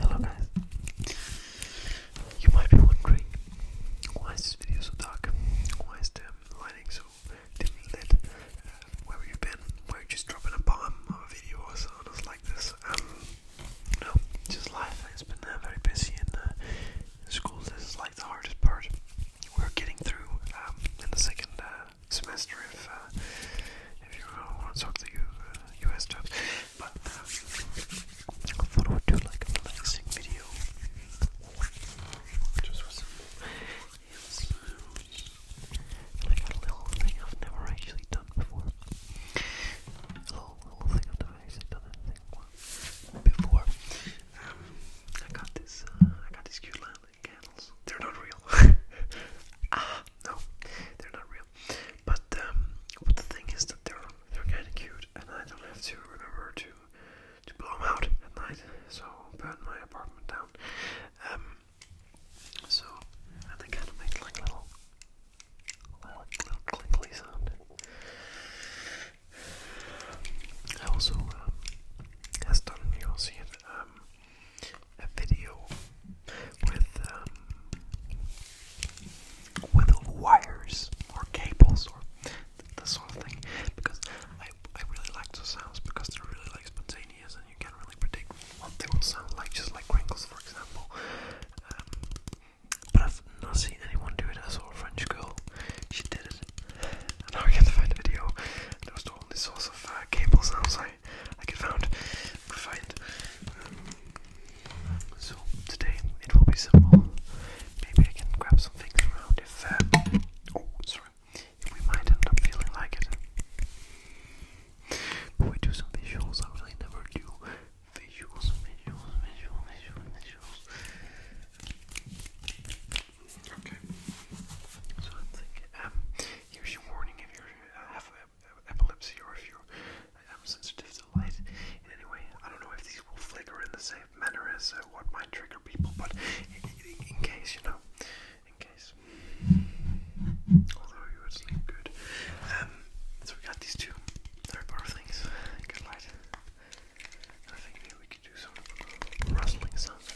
Hello guys. You might be wondering why this video so dark? Why is the lighting so dimly lit? Uh, where have you been? Were you just dropping a bomb of a video or something like this? Um, no, just life. It's been uh, very busy in uh, school. This is like the hardest part. We're getting through um, in the second uh, semester if uh, if you want to talk to you US uh, jobs. But I thought I would do like a relaxing video. Just with some like a little thing I've never actually done before. A little, little thing I've never actually done anything before. Um, I got this. Uh, I got these cute landing candles. They're not real. ah, no, they're not real. Um, but the thing is that they're they're kind of cute, and I don't have to remember to to blow them out at night. So burn my apartment down. Um, so and they kind of make like little little, little clinkly sound. I also um, has done, you'll see it a video with um, with wires or cables or th sort of thing because I I really like those sounds because they're really spontaneous and you can't really predict what they will sound like just like crinkles for example. Um, but I've not seen anyone do it. I saw a French girl, she did it. And now I can't find the video. There was only source of cables uh, cable sounds I I can find find. Um, so today it will be simple. Maybe I can grab some things around uh, oh, if. we might end up feeling like it. But we do some visuals. I really never do visuals, visuals, visuals, visuals, visuals. Okay. So I'm thinking. Um, here's your warning epilepsy or if you uh, am sensitive to light in I don't know if these will flicker in the same manner as uh, what might trigger people, but in, case, you know, in case. Although you would sleep good. Um, so we got these two Harry Potter things. Good light. I think maybe we could do some rustling sounds.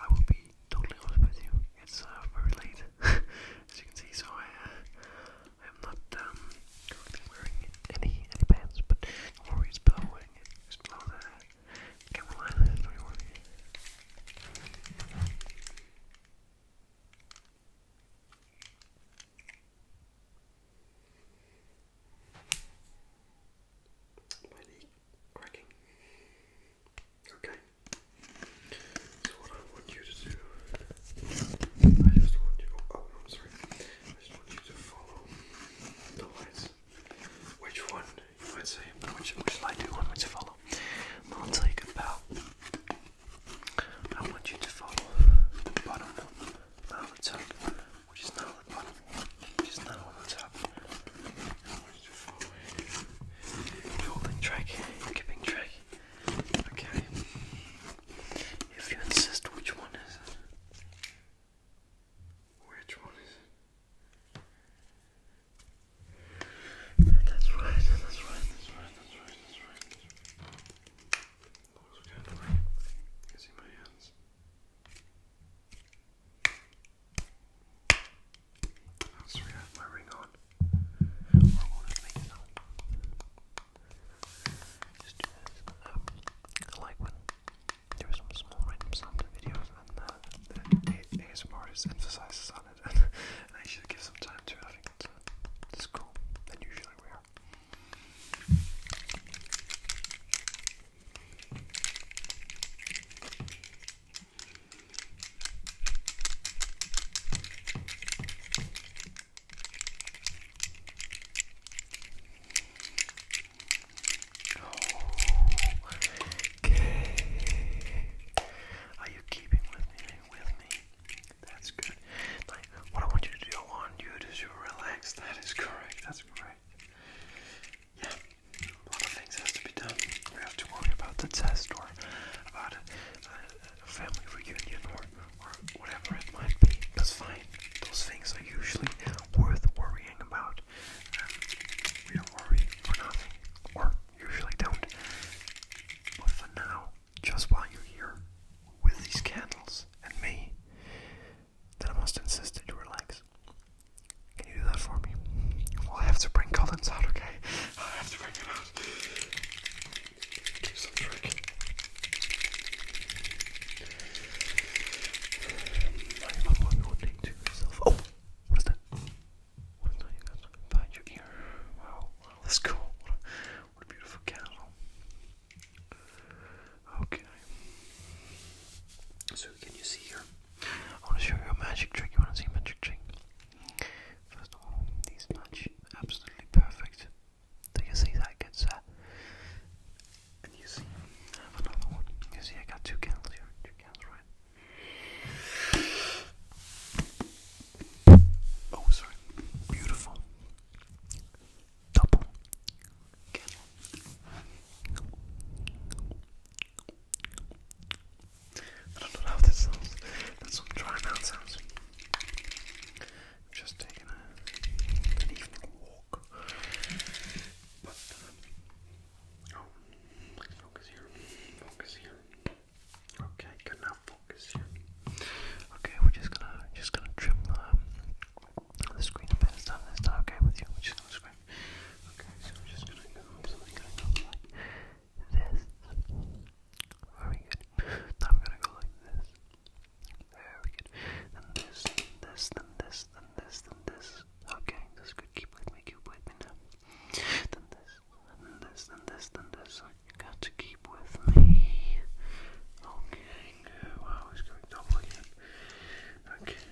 I will be totally honest with you. It's uh, very late, as you can see. So I, uh, am not um, wearing any pants, but do below it. below the camera line. Don't worry. Uh, Mighty cracking. Okay. So what I want you to do, I just want you. Oh, to follow the lights. Which one you might Which which light do you want me to follow? I'll tell you about. I want you to follow the bottom. Now the top which is now at the bottom, which is on the top. Holding track, keeping track. Okay. If you insist, which one is Which one That's right, that's right, that's right, that's right, that's right. Oh, I'll um, like when there are some small random sound videos and uh, the, the on it and, I should give some time to it. Uh, it's, cool and usually rare. Okay. Are you keeping with me? With me? That's good. Like, what I want you to do, I want you to relax. That is correct. That's correct yeah, a lot of things has to be done. We have to worry about the test or about a, family reunion or, or whatever it might be. That's fine. Those things are usually worth worrying about. Um, we are worrying for nothing, or usually don't. But for now, just while you're here with these candles and me, then I must insist that you relax. Can you do that for me? Well, I have to bring Collins out, okay? I have to bring him out. Do some trick. I probably would need to Oh! What is that? What is that you got behind your ear? Wow, that's cool. what a beautiful candle. Okay. So can you see here? I want to show you a magic trick. You want to see a magic trick? First of all, these match absolutely perfect. Do you see that gets uh, and you see have another one. You see I got two candles here, two candles right. Oh sorry. Beautiful. Double I don't know how this sounds. That's some dry mouth sounds. I'm just taking an evening walk. But, um, oh, focus here. Focus here. Okay, good now. Focus here. Okay, we're just gonna just gonna trim um, the, screen a bit. Is that, is that okay with you? We're just gonna Okay, so I'm just gonna go something like this. Very good. Now I'm gonna go like this. Very good. Then this, this, then this, then this, then this. Okay, that's good. Keep with me, keep with me now. Then this, then this, then this, then this. You got to keep with me. Okay, good. Wow, going double again. Okay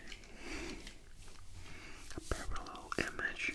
a parallel image.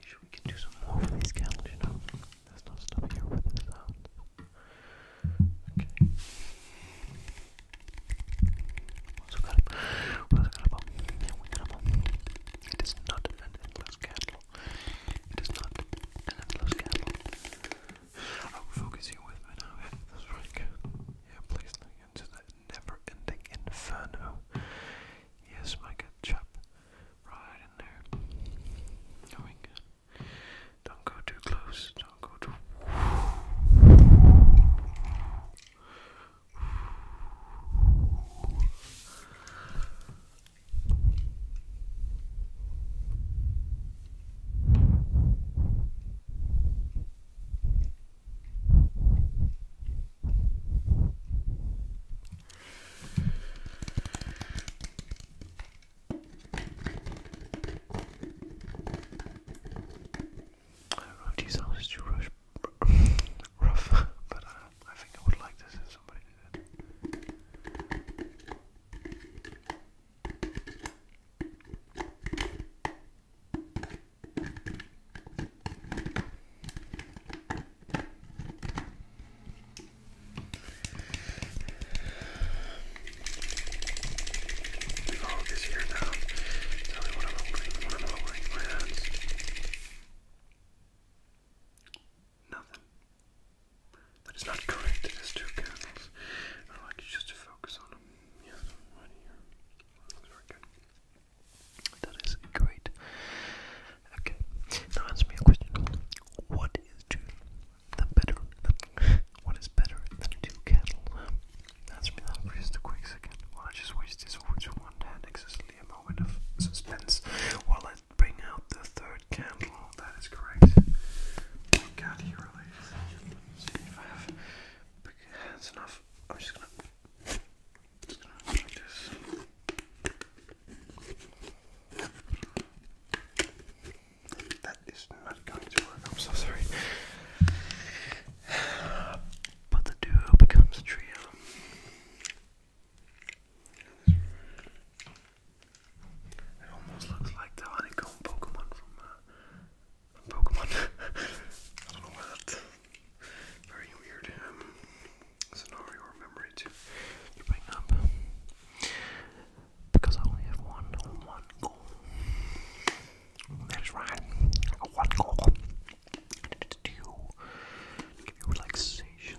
Sure, we can do some more with these candles, you know. There's not stuff here with the sound. Okay. Also got a, also got a bomb. Yeah, we got a It is not an endless candle. It is not an endless candle. I will focus you with me now. That's right. Good. Yeah, please into that never-ending inferno. Yes, my good chap, right in there. Going. Don't go too close. Don't go too. I do these sounds too rush, rough, but uh, I think I would like this if somebody did it. Oh, this here now. Tell me what I'm holding. What i holding in my hands. Nothing. That is not correct. It is two candles. I'd like you just to focus on them. Yes, right here. That is great. Okay, now answer me a question. What is two? The better. what is better than two cattle? Answer me that for just a quick second. just waste this over to one hand, moment of suspense while I bring out the third candle. That is correct. My God, here, ladies. See if I have hands enough. I'm just gonna, That is not going to work. I'm so sorry. But the duo becomes a trio. It almost looks like the honeycomb Pokemon from uh, Pokemon. I don't know why that's very weird um, scenario or memory to Because I only have one, one goal. That is right. One goal. And it's to give relaxation.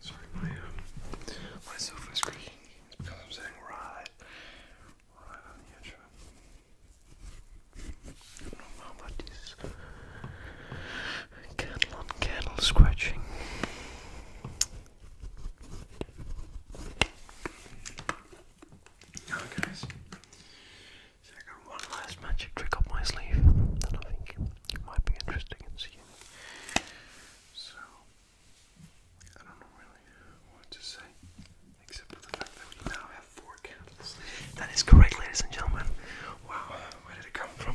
Sorry, my my sofa is creaking. because I'm sitting right, right on the edge of it. I Candle on candle scratching. Alright guys, I got one last magic trick up my sleeve that I think might be interesting in seeing. So, I don't know really what to say, except that we now have four candles. That is correct, ladies and gentlemen. Wow, where did it come from?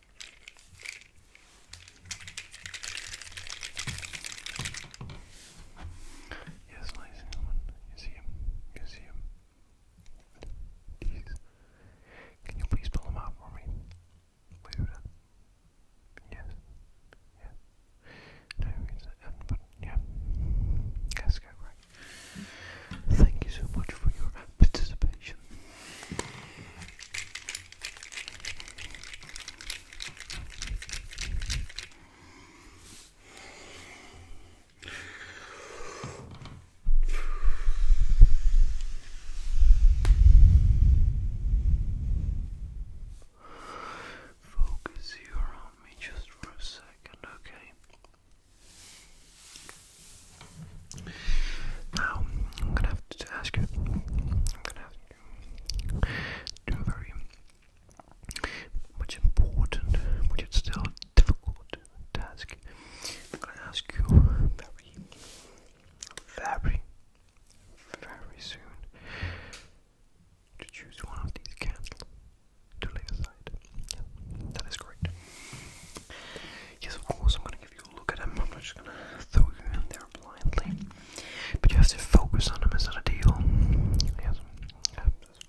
Yes, ladies and gentlemen, you see him, you see him. Jeez. Can you please pull him out for me? Please. Yes. Yes. No, it's the end button. Yeah. let go, right. Thank you so much for your participation. Focus here on me just for a second, okay? Now, I'm gonna have to ask you, to a very much important, but it's still difficult task. I'm gonna ask you very, very, very soon to choose one of these candles to lay aside. that is correct. Yes, of course, I'm gonna give you a look at them. I'm not just gonna throw you in there blindly. But you have to focus on them, as that a deal? that's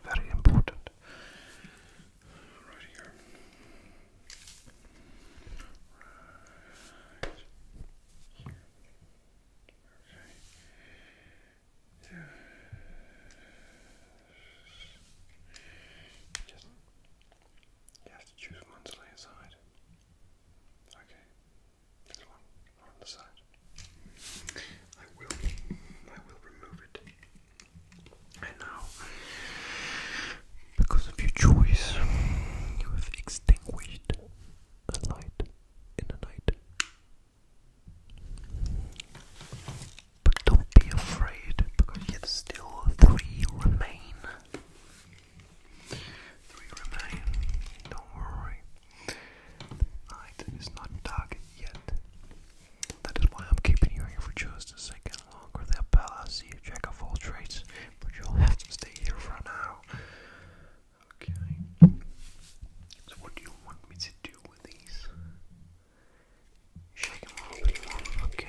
very important. Right here. Right Okay. You have to choose one to lay aside. Okay. There's one on the side. I will I will remove it. And now because of your choice you have extinguished a light in the night. But don't be afraid because yet still three remain. Three remain. Don't worry. Night is not dark yet. That is why I'm keeping you here for just a second longer. The Bella, see a jack of all trades, but you'll have to stay here for now. Okay. So what do you want me to do with these? Shake them up Okay.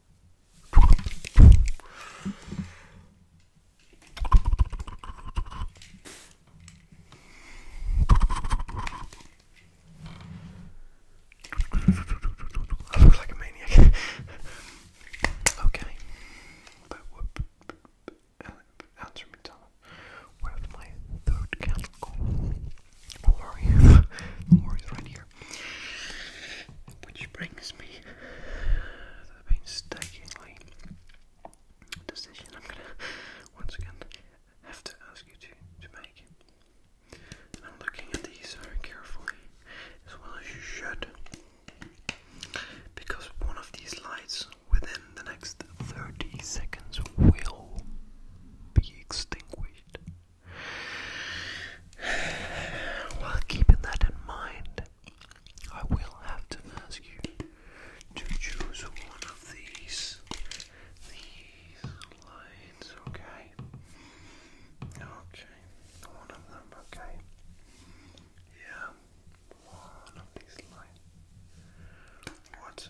I look like a maniac. okay. Answer me, Tom. Where's my third candle go? Don't worry. Don't right here. Which brings me to the painstakingly decision I'm gonna once again have to ask you to, to make. I'm looking at these very carefully, as well as you should, because one of these lights within the next 30 seconds will be extinguished. While keeping that in mind, I will have to ask you to choose one of these these lines, okay? Okay, one of them, okay? Yeah, one of these lines. What?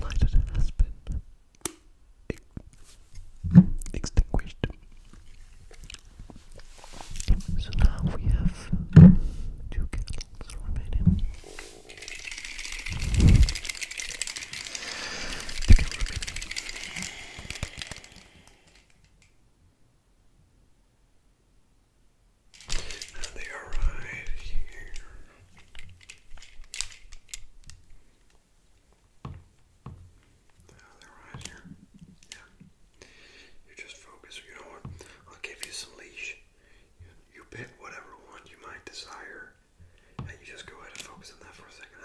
lighted has been extinguished. So now we have two candles remaining. they are right here they're right here. Yeah. You just focus. You know what? I'll give you some leash. You, you pick whatever one you might desire, and you just go ahead and focus on that for a second.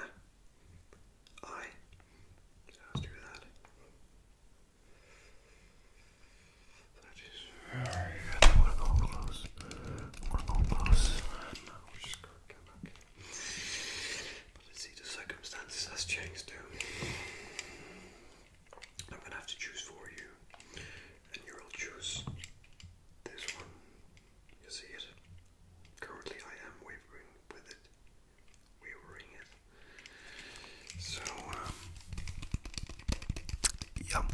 I. let do that. That is very I'm gonna close. I'm close. But let's see, the circumstances has changed too. I'm gonna have to choose for you. And you'll choose this one. You see it? Currently I am wavering with it. Wavering it. So Yum.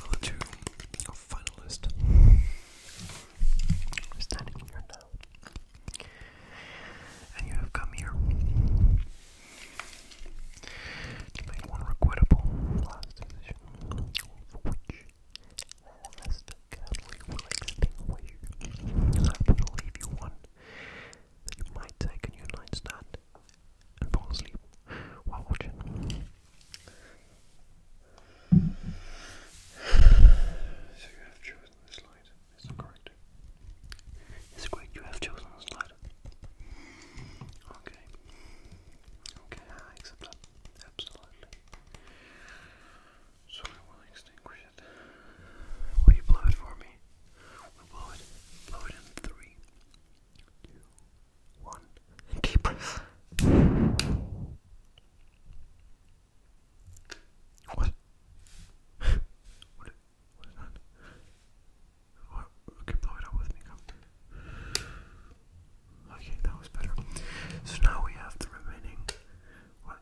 Number two, finalist. We're standing here now. And you have come here to make one regrettable last decision for which Lester Cadley will extinguish. I will leave you one that you might take a new night's stand and fall asleep while watching. So you have chosen this light, is it It's correct, you have chosen this light. Okay. Okay, I accept that. Absolutely. So I will extinguish it. Will you blow it for me? we blow it. Blow it in three, two, one. Deep breath. What? what? What is that? Okay, blow it out with me. Come. Okay, that was better. So now we have the remaining. What?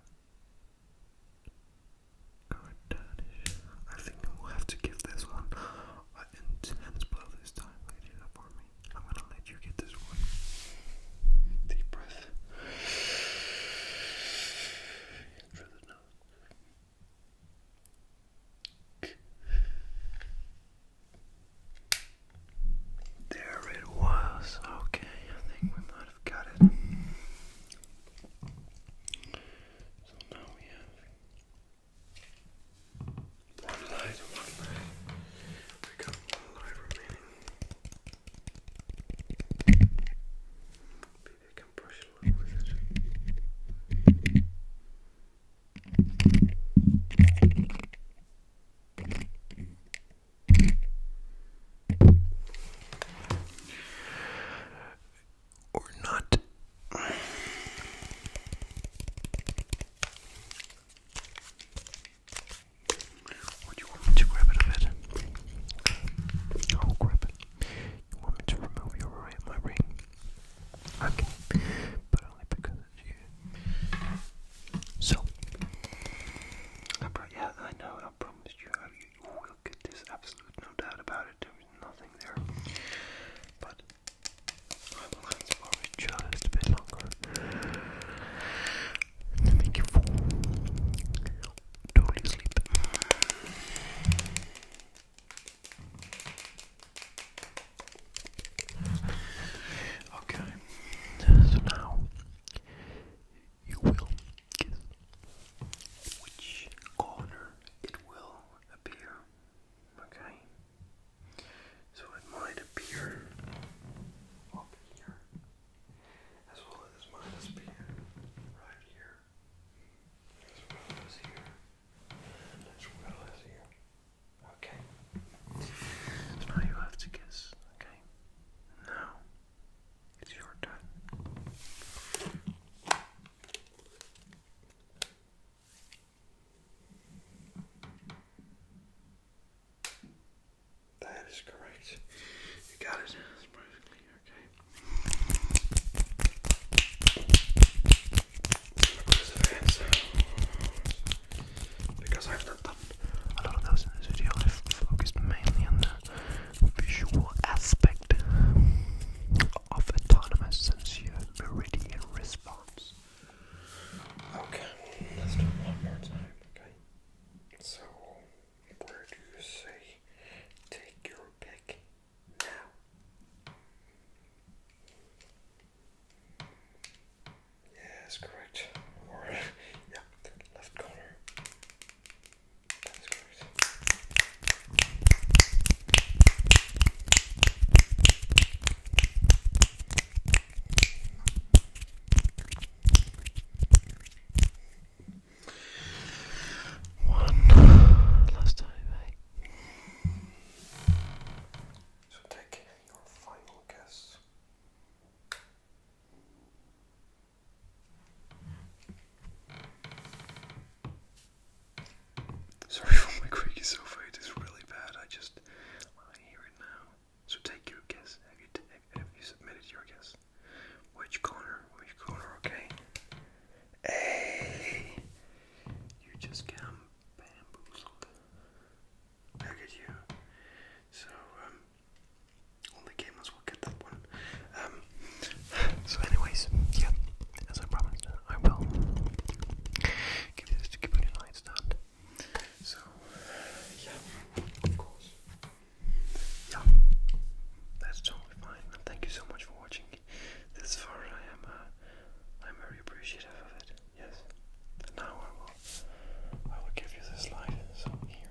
Kardashian. I think I will have to give this one an intense blow this time. Lady, that for me. I'm gonna let you get this one. Deep breath. Through the nose. There it was. Okay, I think we might have got it. So now we have one light one light. We got one light remaining. Maybe I can brush a little with it or not. Or you want me to grab it a bit? I'll grab it. You want me to remove your ring, my ring? Okay, but only because it's you. So, yeah, I know, I promise you, you will get this. Absolute no doubt about it. There is nothing there. But I will hands for just a bit longer make you fall totally asleep. Okay, so now you will guess which corner it will appear. Okay? So it might appear up here, as well as minus appear right here, as well as here, and as well as here. Okay? So now you have to guess, okay? Now it's your turn. That is correct. You got it. perfectly okay. because I've not done a lot of those in this video, I've focused mainly on the visual aspect of autonomous sensor meridian response. Okay, let's do one more time, okay? So, where do you say take your pick now? Yes, correct. Or, yeah, left corner. That is correct. One last time, eh? So take your final guess. Sorry for my creaky sofa, it is really bad. I just I hear it now. So take your guess. Have you submitted your guess? Which corner? Which corner? Okay. Hey, you just got bamboozled. Look at you. So um, only game um, so, anyways, yeah, as I promised, I will give you this to keep on your nightstand. So, yeah, of course. Yeah, that's totally fine. thank you so much for watching this far. I am, uh, I'm very appreciative of it. Yes. now I will, I will give you this light. So here,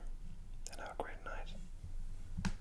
and have a great night.